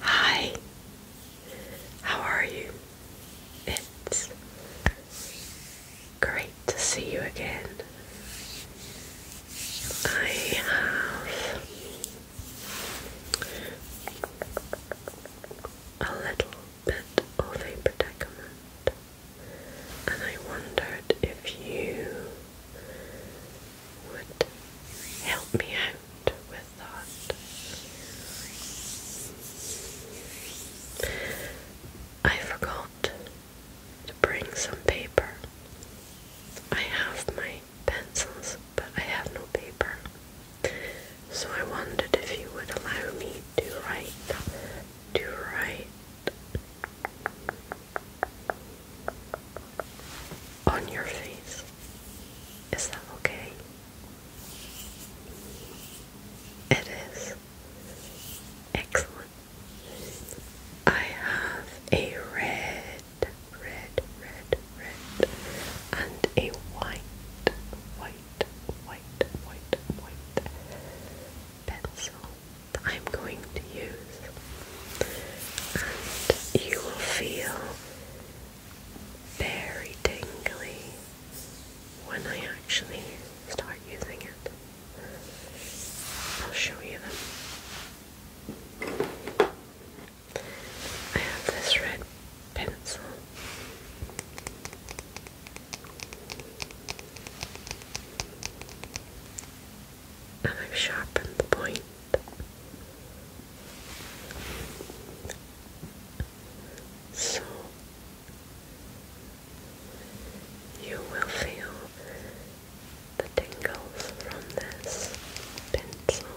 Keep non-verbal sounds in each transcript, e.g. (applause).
Hi, how are you? It's great to see you again. I have a little bit of a predicament, and I wondered if you would help me out with that. I forgot to bring some paper. I have my pencils, but I have no paper. So I wondered if you would allow me to write, to write on your face. Is that okay? It is. Excellent. I have a red, red, red, red, and a white, white, white, white, white pencil that I'm going to use, and you will feel very tingly when I actually start using it. I'll show you them. I have this red pencil. And I've sharpened the point so you will feel the tingles from this pencil.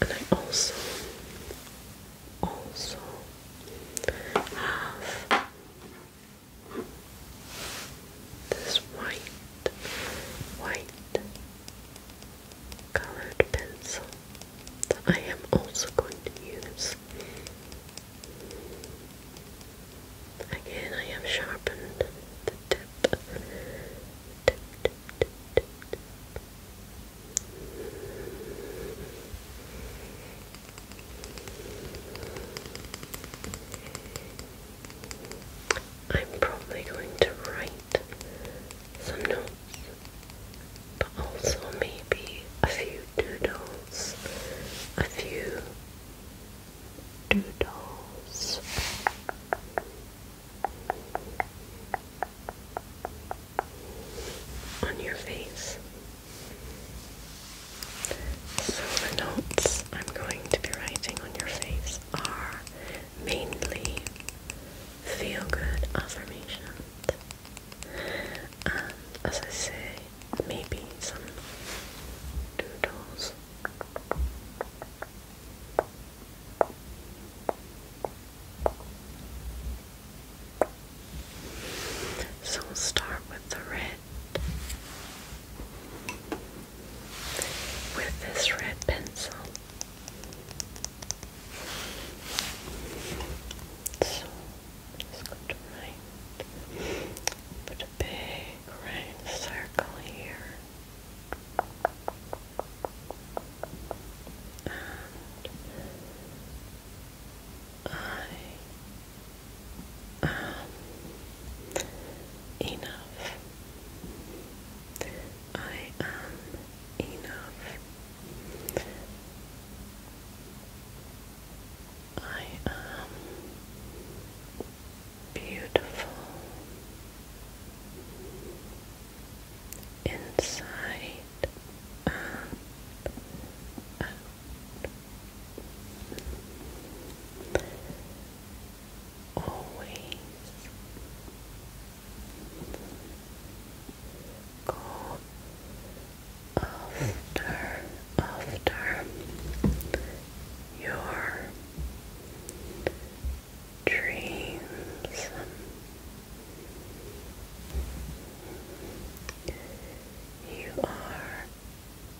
And I also also have this white, white colored pencil that I am also going to use. Again, I have sharpened the tip. I'm probably going to write some notes, but also maybe a few doodles, a few doodles. On your face, so the notes I'm going to be writing on your face are mainly feel good affirmations. And as I say, maybe some doodles. So we'll start with the red with this red pencil. So let's go to right. Put a big round circle here. And I (sighs) enough. I am enough. I am beautiful inside Always go after after your dreams. You are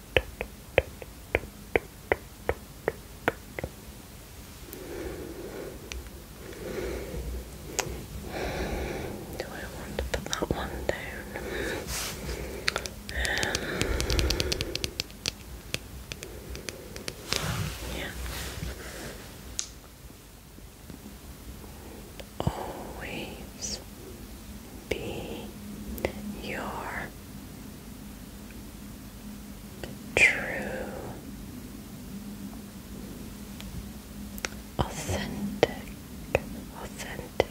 do I want to put that one down? Um, yeah. Always be your true, authentic, authentic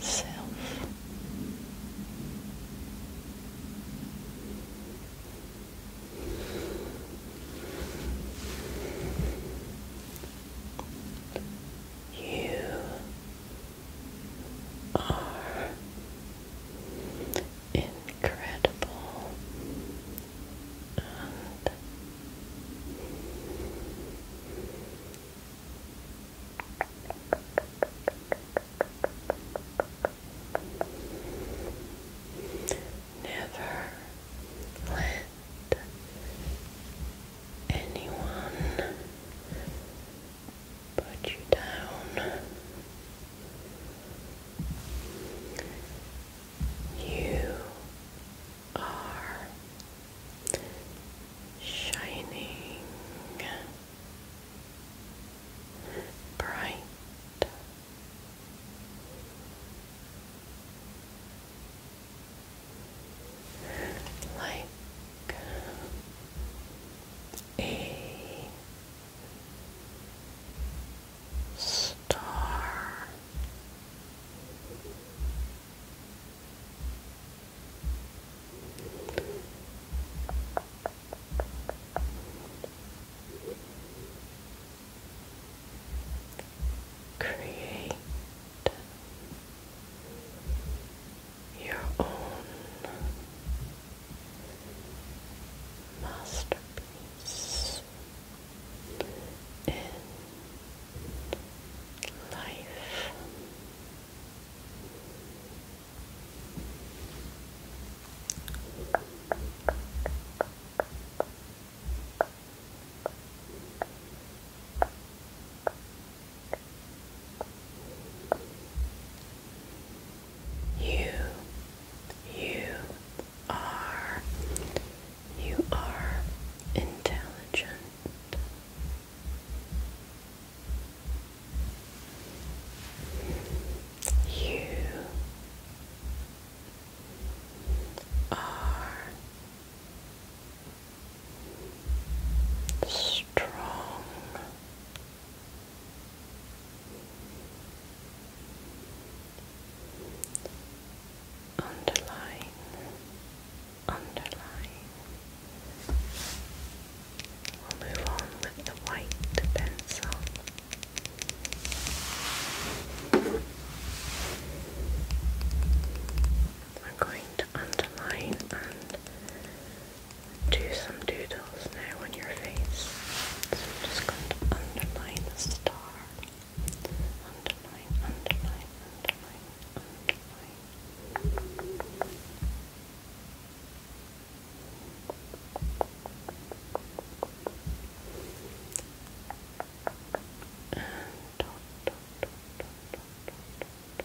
self. You are incredible Never let anyone put you down. You are shining bright like a star. Create your own masterpiece in life. You, you are, you are intelligent. You are strong. Underline, underline. We'll move on with the white pencil. I'm going to underline and do some doodles now on your face. just going to underline the star. Underline, underline, underline, underline. And dot, dot, dot, dot, dot, dot, and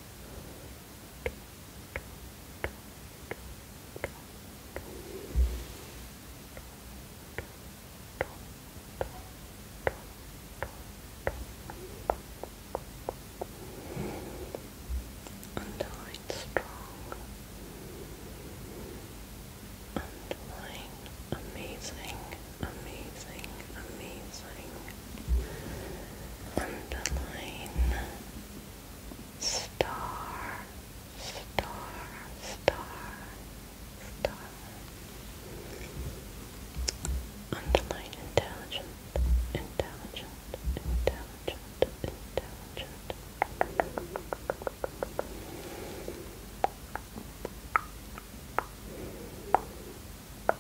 light strong and mine amazing amazing amazing underline star, star, star, star. Underline intelligent, intelligent, intelligent, intelligent and a little,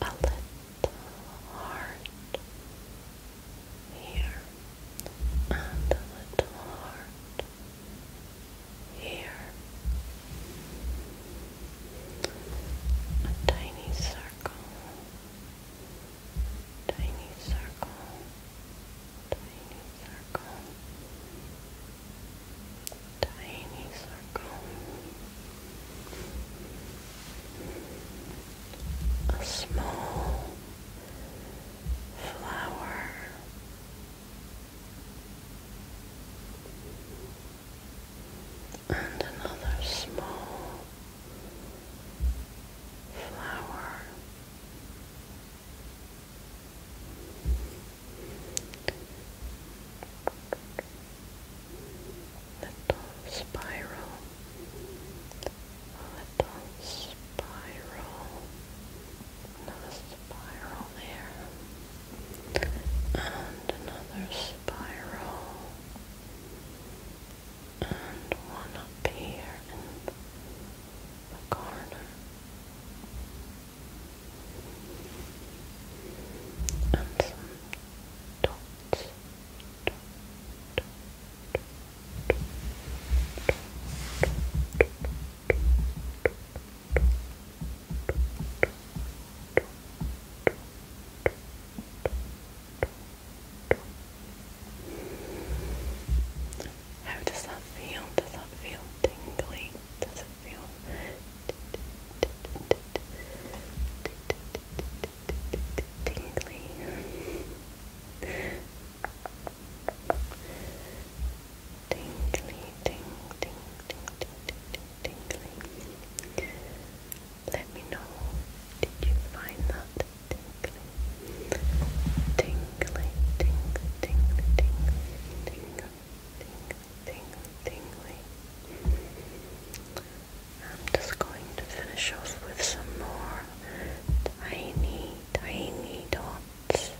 a little heart here, and a little heart here, a tiny circle, tiny circle tiny circle, tiny circle, a small flower. And another small flower, little spiral, little spiral, another spiral there, and another spiral, and one up here in the corner and some dots. How does that feel? Does that feel tingly? feel. Tingly. Tingly, tingly. Let me know, did you find that Tingly, tingly, tingly, tingly, tingly tingly, tingly, tingly. I'm just going to finish off with some more tiny, tiny dots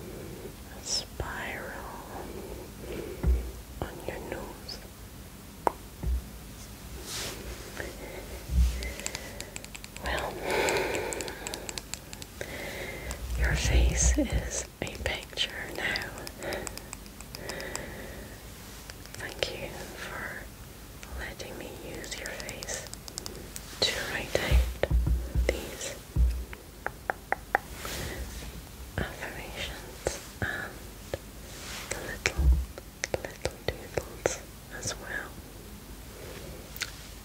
a spiral on your nose. Well, your face is a picture now. Thank you for letting me use your face to write out these affirmations and the little, little doodles as well.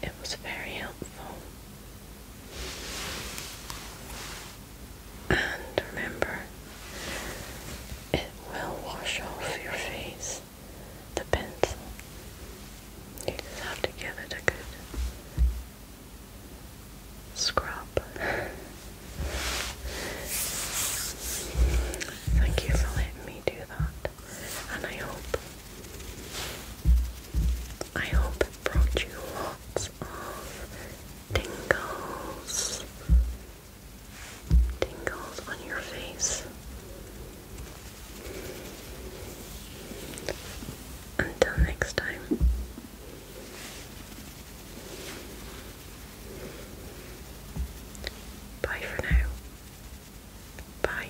It was very helpful and remember, it will wash off your face, the pencil. You just have to give it a good scrub. Thank you for letting me do that. And I hope I hope brought you lots of tingles, tingles on your face. Until next time. Bye for now. Bye.